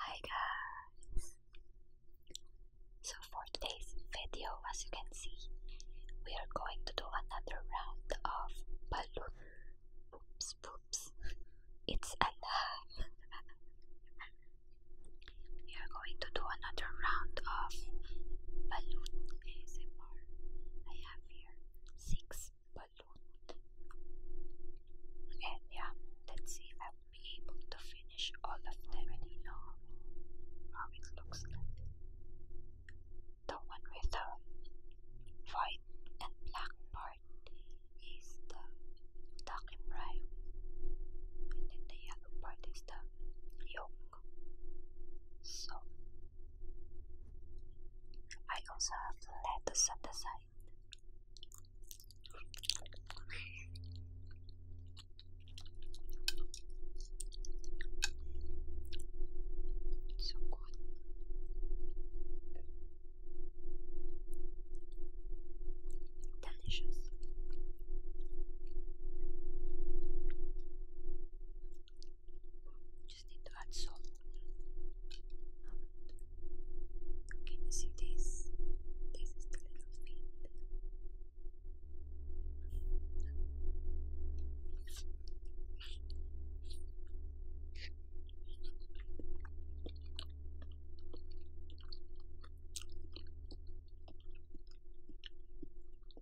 Hi guys! So for today's video, as you can see, we are going to do another round of balloons. Oops, oops. It's alive. we are going to do another round of balloon I have here six balloons. And yeah, let's see if I will be able to finish all of them any you how it looks like. The one with the white and black part is the dark and prime. And the yellow part is the yellow. So I also have letters on the side. So good. Delicious. Just need to add salt. Can you see this? This is the little feet.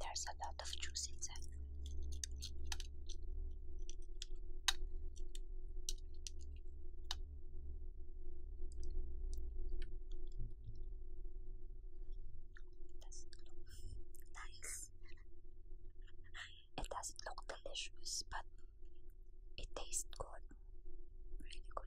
There's a lot of juice inside doesn't look nice. It doesn't look delicious, but it tastes good. Really good.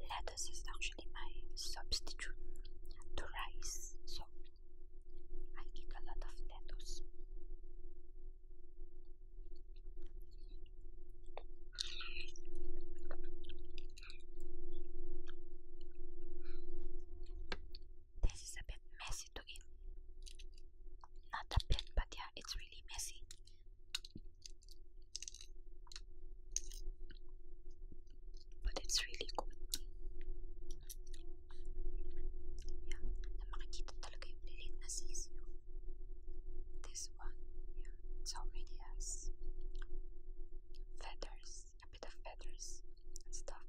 Lettuce is actually my substitute to rice, so I eat a lot of lettuce. This is a bit messy to eat. Not a bit, but yeah, it's really messy. But it's really good. Yeah, na makikita talaga yung lilit This one, yeah, it's already has feathers, a bit of feathers and stuff,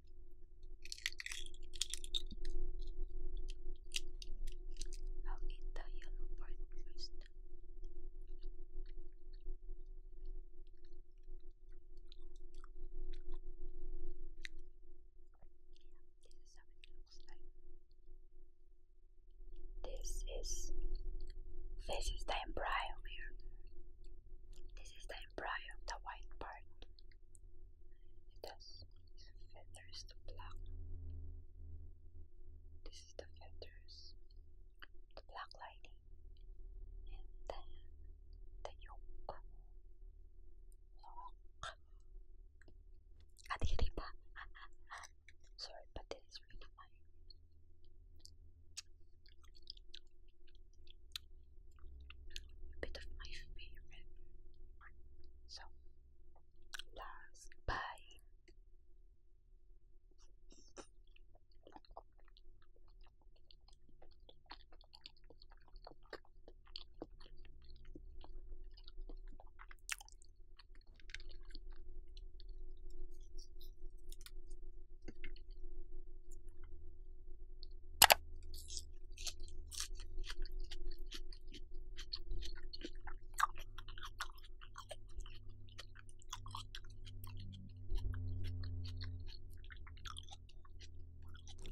I'll eat the yellow part first. This is This is the embryo here. This is the embryo, the white part. It has feathers to pluck. This is the feathers, the black lining, and then the yolk. Sorry, but this is really my a bit of my favorite So, last bite.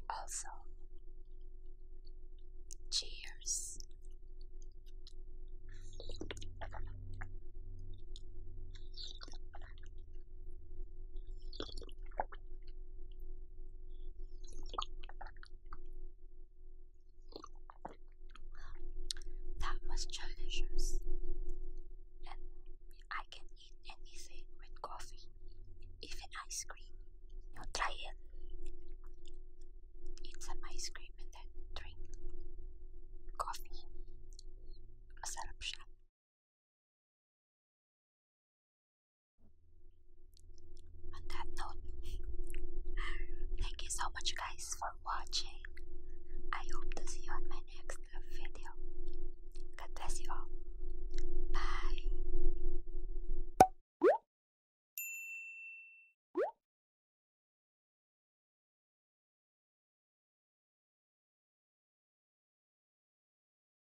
Also, cheers that was delicious. And I can eat anything with coffee, even ice cream. You try it. Eat some ice cream and then drink coffee. Masarap on that note, thank you so much guys for watching. I hope to see you on my next video. God bless you all. Bye.